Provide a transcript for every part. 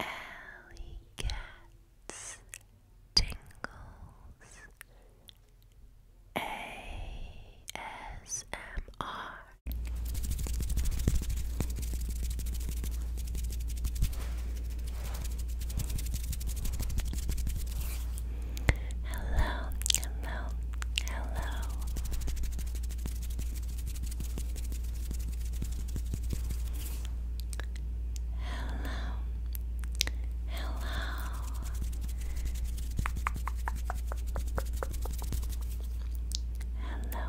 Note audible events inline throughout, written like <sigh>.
Alley Cats Tingles ASMR Hello, hello, hello. Hello, hello. Hello,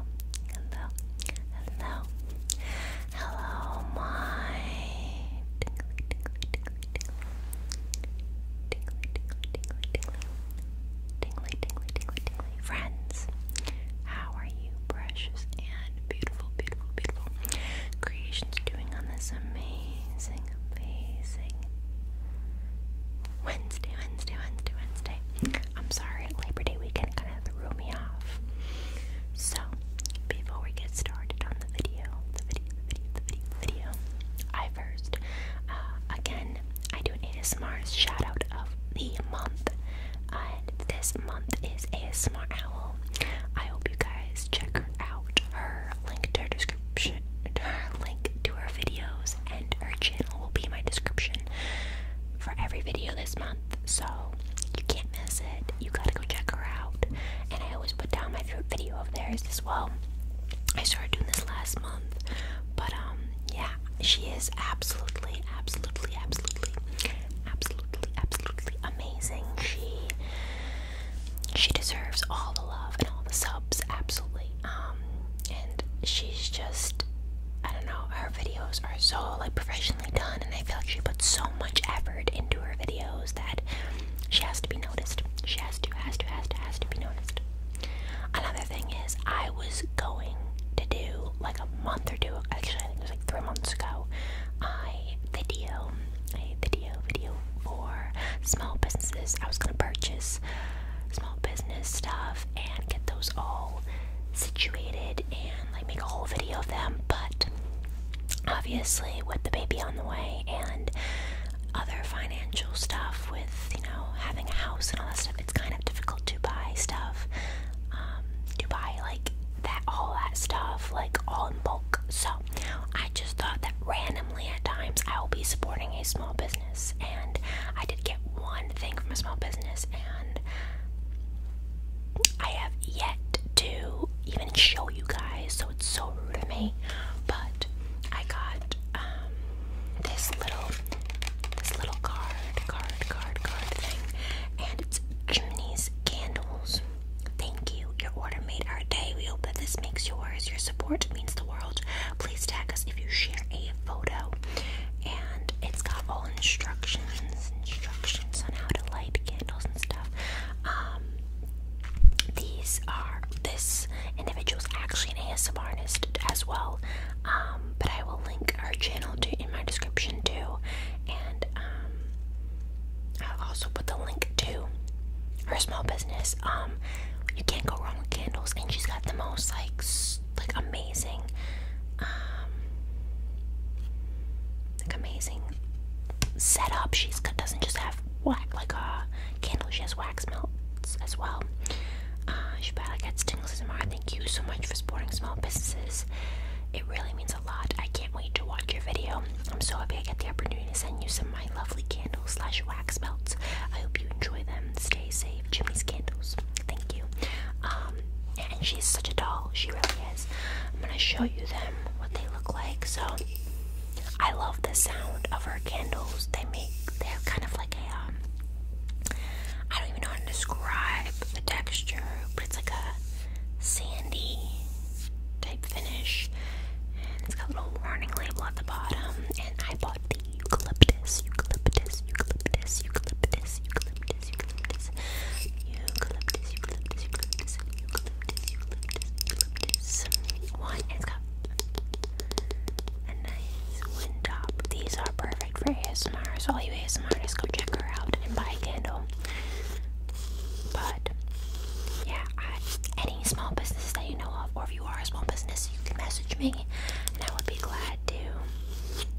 hello, hello, hello, my Tingly, tingly, tingly, tingly. Friends, how are you, precious and beautiful, beautiful, beautiful creations doing on this amazing, amazing Wednesday, Wednesday, Wednesday, Wednesday? I'm sorry, Labor Day weekend kind of threw me off. So, before we get started on the video, the video, the video, the video, the video, I first, uh, again, I do an ASMR shoutout of the month, and this month is a smart Owl. I hope you guys check her out. Her link to her description, her link to her videos, and her channel will be in my description for every video this month. So you can't miss it. You gotta go check her out. And I always put down my favorite video of theirs as well. I started doing this last month, but um, yeah, she is absolutely, absolutely, absolutely, absolutely, absolutely amazing. She she deserves all the love and all the subs, absolutely. Um, and she's just I don't know, her videos are so like professionally done and I feel like she puts so much effort into her videos that she has to be noticed. She has to, has to, has to, has to be noticed. Another thing is, I was going to do like a month or two. Actually, I think it was like three months ago. I video, a video, video for small businesses. I was gonna purchase small business stuff and get those all situated and like make a whole video of them. But obviously, with the baby on the way and other financial stuff, with you know having a house and all that stuff, it's kind of difficult to buy stuff, um, to buy like that, all that stuff, like all in bulk. So I just thought that randomly at times I will be supporting a small business, and I did get one thing from a small business, and I have yet to even show you guys, so it's so rude of me. But I got um, this little this little card, card, card, card thing, and it's Chimney's Candles. Thank you. Your order made our day. We hope that this makes yours. Your support means the world. Please tag us if you share a photo. And it's got all instructions, instructions on how to light candles and stuff. Um, these are this individual is actually an ASMRist as well um, but I will link our channel to in my description too, and um, I'll also put the link to her small business. Um, you can't go wrong with candles, and she's got the most like like amazing, um, like amazing setup. She's doesn't just have whack like a candle; she has whack wax melts as well. Shubala uh, gets tingles tomorrow. Thank you so much for supporting small businesses. It really means a lot. I can't wait to watch your video. I'm so happy I get the opportunity to send you some of my lovely candles slash wax melts. I hope you enjoy them. Stay safe. Jimmy's candles. Thank you. Um, and she's such a doll. She really is. I'm gonna show you them what they look like. So I love the sound of her candles. They make they're kind of like um, I don't even know how to describe the texture, but it's like a sandy type finish. And it's got a little warning label at the bottom. And I bought the eucalyptus, eucalyptus, eucalyptus, eucalyptus, eucalyptus, eucalyptus, eucalyptus, eucalyptus, eucalyptus, eucalyptus, eucalyptus, eucalyptus, One, a nice wind top. These are perfect for ASMR, so all you ASMRists go check her out and buy a candle. But yeah, any small business that you know of, or if you are a small business, you can message me, and I would be glad to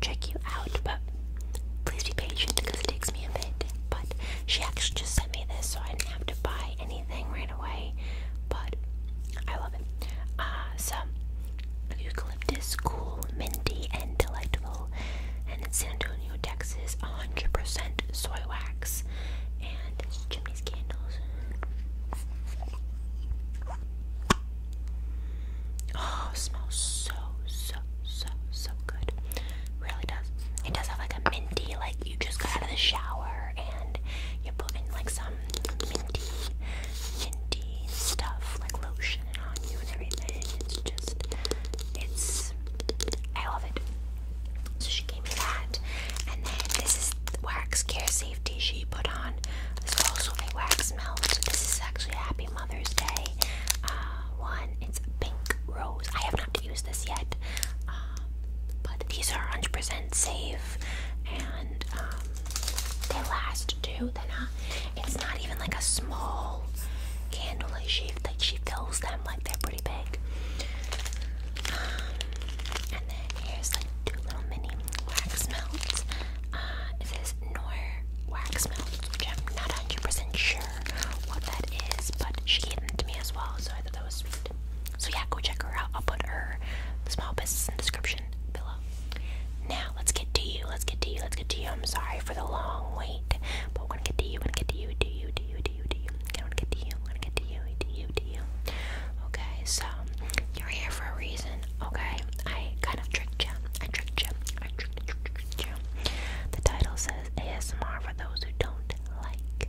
check you out. But please be patient because it takes me a bit. But she actually just sent me this, so I didn't have to buy anything right away. But I love it. Uh, so Eucalyptus, cool, minty, and delightful. And in San Antonio, Texas, 100% soy wax and chimneys candles. Oh, smells so, so, so, so good. Really does. It does have like a minty, like you just got out of the shower and you put in like some some minty, stuff like lotion on you and everything. It's just, it's, I love it. So she gave me that, and then this is wax care safety she put on. This is also a wax melt. This is actually a Happy Mother's Day uh, one. It's pink rose. I have not used this yet, um, but these are 100% safe and. Um, they last too. They're not. Uh, it's not even like a small candle like she like she fills them like they're pretty big. Um, and then here's like two little mini wax melts. it says Nor wax melt, I'm not 100% sure what that is, but she gave them to me as well, so I thought that was sweet. So yeah, go check her out. I'll put her small business in description. Now let's get to you. Let's get to you. Let's get to you. I'm sorry for the long wait, but we to get to you. we to get to you. Do you? Do you? Do you? Do you? we to get to you. we to get to you. Do you? Do you? Okay, so you're here for a reason. Okay, I kind of tricked you. I tricked you. I tricked you. The title says ASMR for those who don't like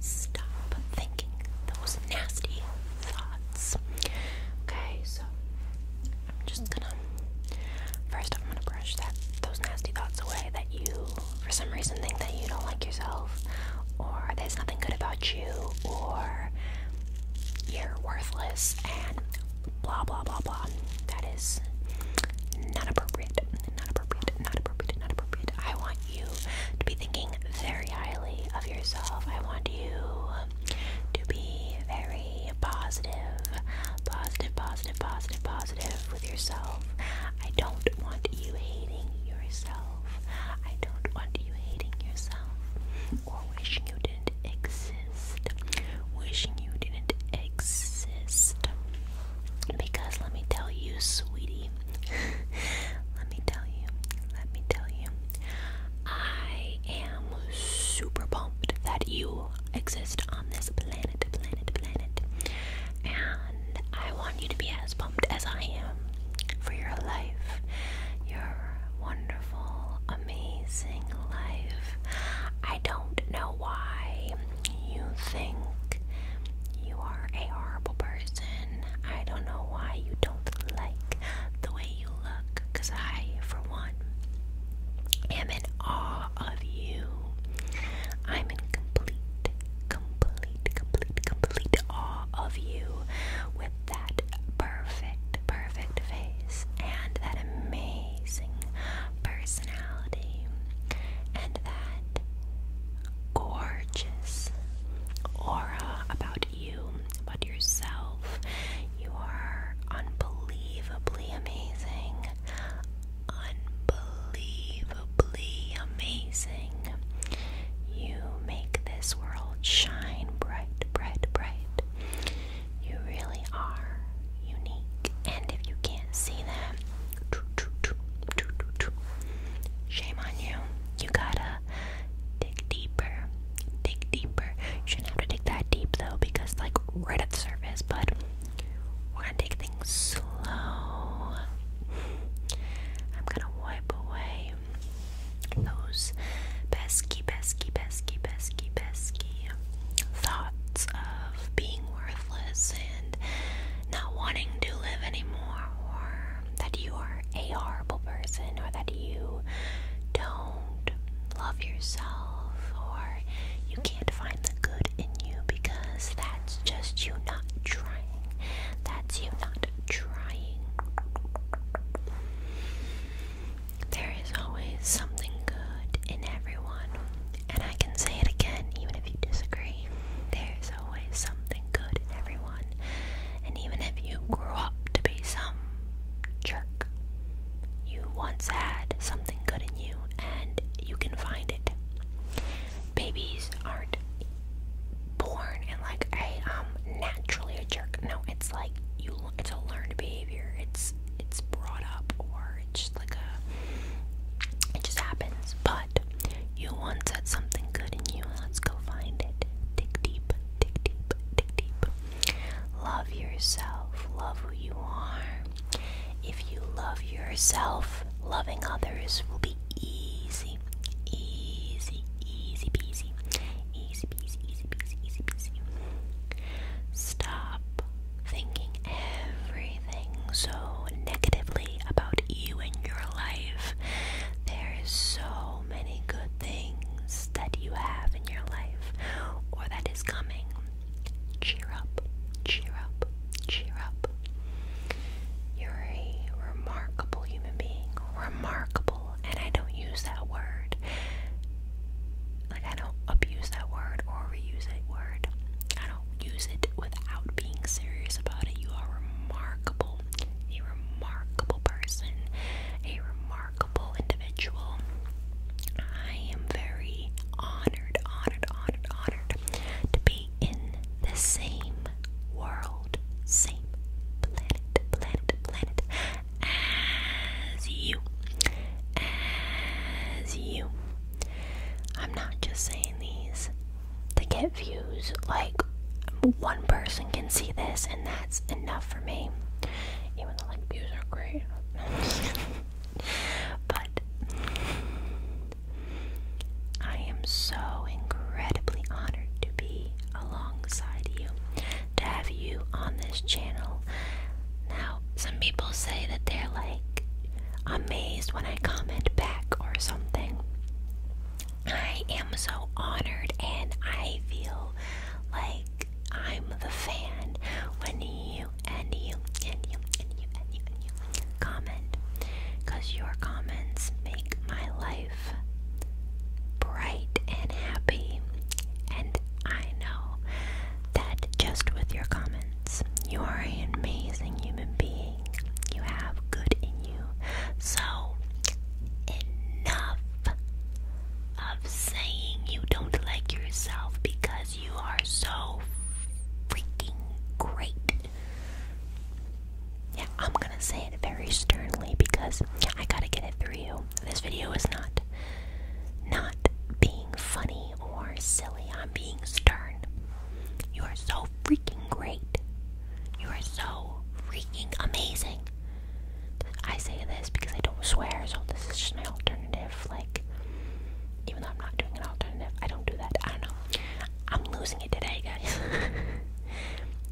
stop thinking those nasty thoughts. Okay, so I'm just gonna first I'm gonna brush that those nasty thoughts away that you for some reason think that you don't like yourself or there's nothing good about you or you're worthless and blah blah blah blah. That is not appropriate. Not appropriate. Not appropriate. Not appropriate. I want you to be thinking very highly of yourself. I want you to be very positive, positive, positive, positive, positive with yourself. I don't want you hating yourself. I don't want you hating yourself or wishing you didn't exist. Wishing you didn't exist. Because let me tell you, sweetie, <laughs> let me tell you, let me tell you, I am super pumped that you exist on this planet, planet, planet. And I want you to be as pumped as I am for your life, your wonderful, amazing life. I don't know why you think you are a horrible person I don't know why you don't like the way you look, because I, for one, am in awe of you. I'm in complete, complete, complete, complete awe of you with that perfect, perfect face and that amazing personality and that gorgeous aura about you, about yourself. You are unbelievably amazing. Unbelievably amazing. You make this world shine bright, bright, bright. You really are unique, and if you can't see that, Shame on you. You gotta dig deeper. Dig deeper. You shouldn't have to dig that deep though, because like right at the surface, but we're gonna take things slow. I'm gonna wipe away those pesky, pesky, pesky, pesky, pesky thoughts of being worthless and not wanting to live anymore, or that you are a horrible person, or that you don't love yourself, or you can't find the good in you because that's just you not trying. That's you not trying. There is always something good in everyone, and I can say it again, even if you disagree. There's always something good in everyone. And even if you grew up to be some jerk, you once had something good in you and you can find it. Babies aren't born and like I um naturally a jerk. No, it's like you it's a learned behavior. It's it's brought up or it's just like a it just happens. But but you once had something good in you. Let's go find it. Dig deep, dig deep, dig deep. Love yourself. Love who you are. If you love yourself, loving others will be easy. Easy, easy peasy. Easy peasy, easy peasy, easy peasy. Stop thinking every so negatively about you and your life. There's so many good things that you have in your life or that is coming. Cheer up, cheer up, cheer up. You're a remarkable human being. Remarkable, and I don't use that word. Like, I don't abuse that word or reuse that word. I don't use it without being serious about it. You are remarkable, a remarkable person, a remarkable individual. I am very honored, honored, honored, honored to be in the same world, same planet, planet, planet as you. As you. I'm not just saying these to get views. Like one person can see this, and that's enough for me. Even though like views are great, <laughs> but I am so incredibly honored to be alongside you, to have you on this channel. Now, some people say that they're like amazed when I comment back or something. I am so honored and I feel like I'm the fan when you and you and you and you and you and you comment because your comments make my life bright and happy and I know that just with your comments you are an amazing human being you have good in you. So, enough of saying you don't like yourself because you are so freaking great. Yeah, I'm gonna say it very sternly because I gotta get it through you. This video is not not being funny funny or silly. I'm being stern. You are so freaking great. You are so freaking amazing. I say this because I don't swear, so this is just my alternative. Like, even though I'm not doing an alternative, I don't do that. I don't know. I'm losing it today, guys. <laughs>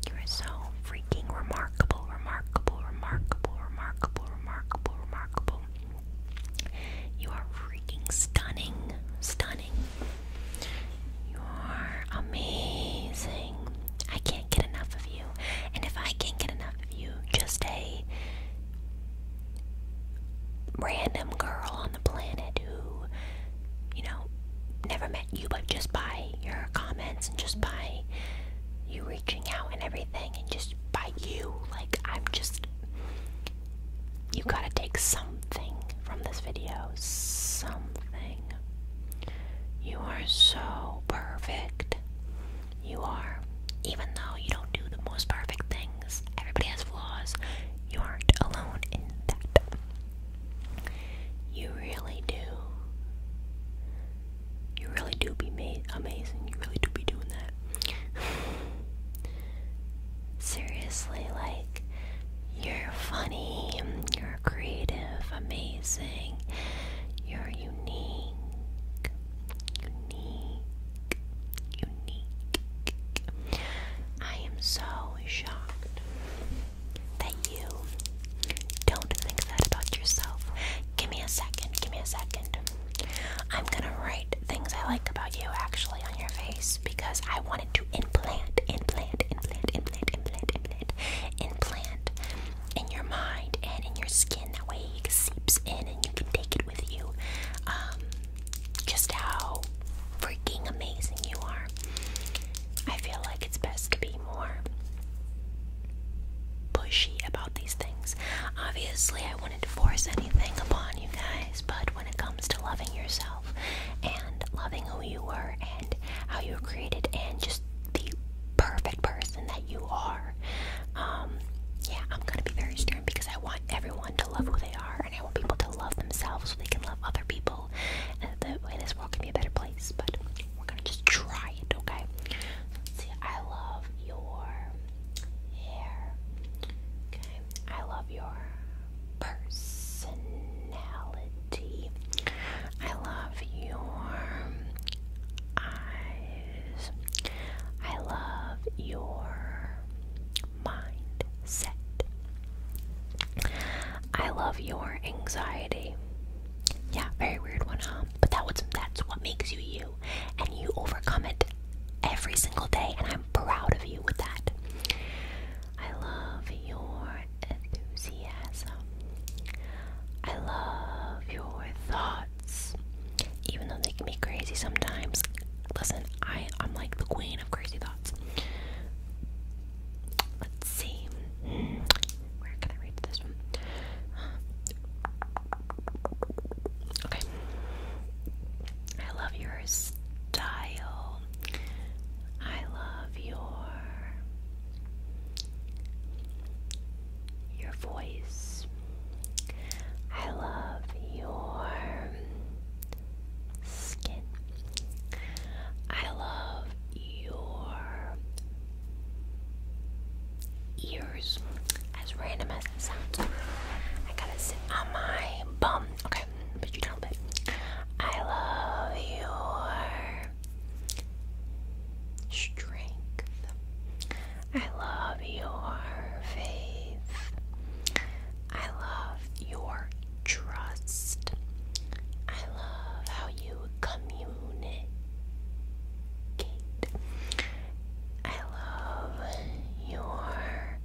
you are so freaking remarkable, remarkable, remarkable, remarkable, remarkable, remarkable. You are freaking stunning. Stunning. You are amazing. I can't get enough of you. And if I can't get enough of you, just a random girl on the planet who, you know, never met you, but just by your comments and just by you reaching out and everything, and just by you, like, I'm just you gotta take something from this video. Something. You are so perfect. You are. Even though you don't do the most perfect things, everybody has flaws. You aren't alone in that. You really do. You really do be made amazing. You really do be doing that. Seriously, like, you're funny, you're creative, amazing, you're unique, unique, unique. I am so shocked that you don't think that about yourself. Give me a second, give me a second. I'm gonna write things I like about you actually on your face because I wanted to implant, implant, implant, implant, implant, implant, implant in your mind and in your skin. That way it seeps in and you can take it with you. Um, just how freaking amazing you are. I feel like it's best to be more pushy about these things. Obviously, I wanted to force anything upon you guys, but when it comes to loving yourself and loving who you are and how you were created and just the perfect person that you are, um, yeah, I'm gonna be very stern because I want everyone to love who they are and I want people to love themselves so they can love other people and that way this world can be a better place, but we're gonna just try it, okay? see, I love your hair. Okay, I love your personality. I love your eyes. I love your mindset. I love your anxiety. Yeah, very weird one, huh? But that that's what makes you you and you overcome it every single day and I'm proud of you with that. I love your enthusiasm. I love your thoughts. Even though they can be crazy sometimes. Listen, I I'm like the queen of crazy thoughts. Let's see. Hmm. Where can I read this one? Okay. I love your style. I love your your voice. I love your skin. I love your ear as random as it sounds. I gotta sit on my bum. Okay, but you don't. But I love your strength. I love your faith. I love your trust. I love how you communicate. I love your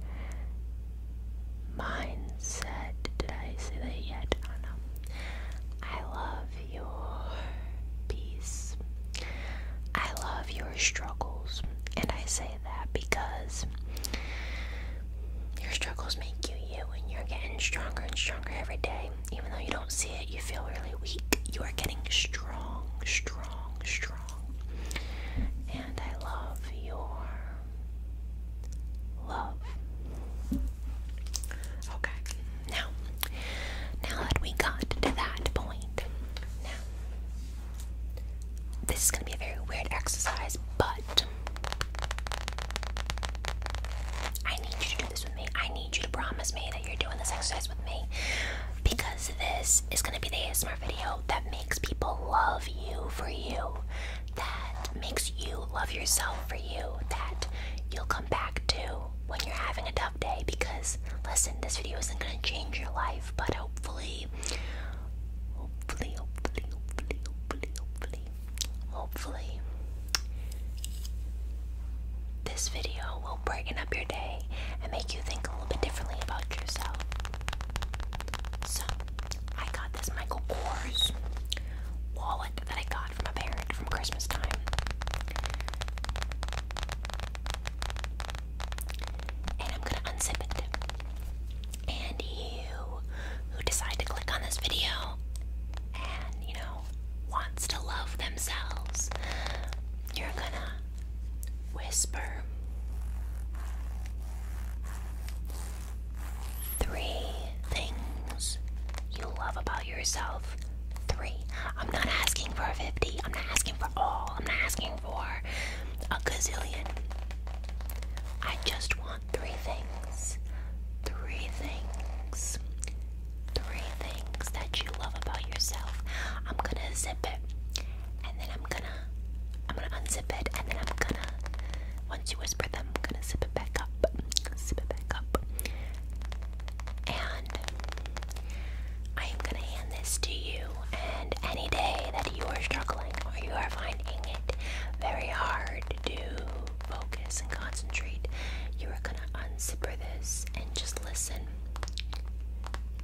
mindset. Did I say that yet? I love your peace. I love your struggles. And I say that because your struggles make you you, and you're getting stronger and stronger every day. Even though you don't see it, you feel really weak. You are getting strong, strong, strong. And I love your love. Okay, now, now that we got to that point, now, this is going to be a very weird exercise, but I need you to do this with me. I need you to promise me that you're doing this exercise with me. Because because this is gonna be the ASMR video that makes people love you for you, that makes you love yourself for you, that you'll come back to when you're having a tough day. Because listen, this video isn't gonna change your life, but hopefully, hopefully, hopefully, hopefully, hopefully, hopefully, hopefully, this video will will up your day and make you think a little bit differently about yourself. So, I got this Michael Kors wallet that I got from a parent from Christmas time. And I'm gonna unzip it. And you who decide to click on this video and, you know, wants to love themselves, you're gonna whisper three things you love about yourself. Three. I'm not asking for 50. I'm not asking for all. I'm not asking for a gazillion. I just want three things. Three things. Three things that you love about yourself. I'm gonna zip it, and then I'm gonna, I'm gonna unzip it, and then I'm gonna, once you whisper them, I'm gonna zip it back up, zip it back up, and I am gonna hand this to you. And any day that you are struggling or you are finding it very hard to focus and concentrate, you are gonna unzipper this and just listen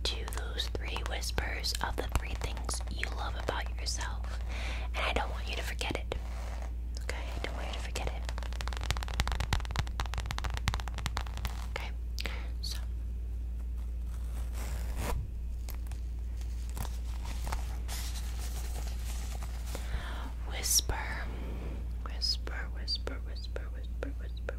to those three whispers of the three things you love about yourself. And I don't want you to forget it. Okay? I don't want you to forget it. Okay? So. Whisper, whisper, whisper, whisper, whisper, whisper,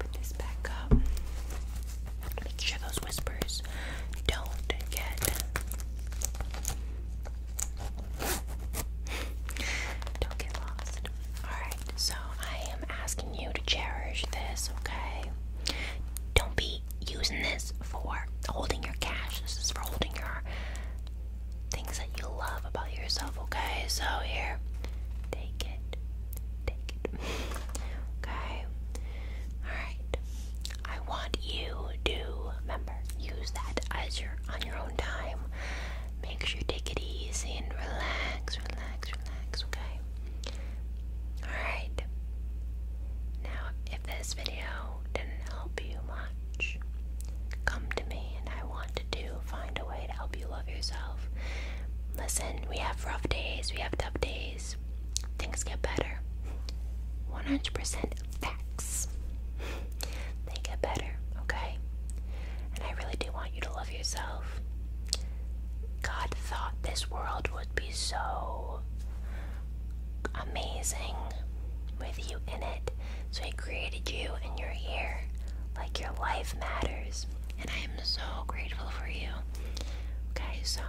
let this back up. Make sure those whispers don't get don't get lost. Alright, so I am asking you to cherish this, okay? Don't be using this for holding your cash. This is for holding your things that you love about yourself, okay? So here, take it take it. okay? Alright. I want you to remember, use that as your on your own time. Make sure you take it easy and relax, relax, relax, okay? Alright. Now if this video didn't help you much, come to me and I want to do find a way Help you love yourself. Listen, we have rough days, we have tough days. Things get better. 100% facts. they get better, okay? And I really do want you to love yourself. God thought this world would be so amazing with you in it. So he created you and your are here. Like your life matters and I am so grateful for you. Okay, so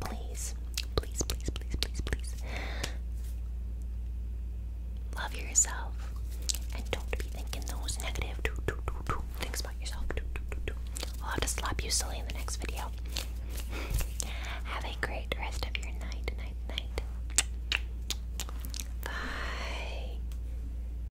please, please, please, please, please, please love yourself and don't be thinking those negative things about yourself. I'll have to slap you silly in the next video. have a great rest of your night, night, night. Bye.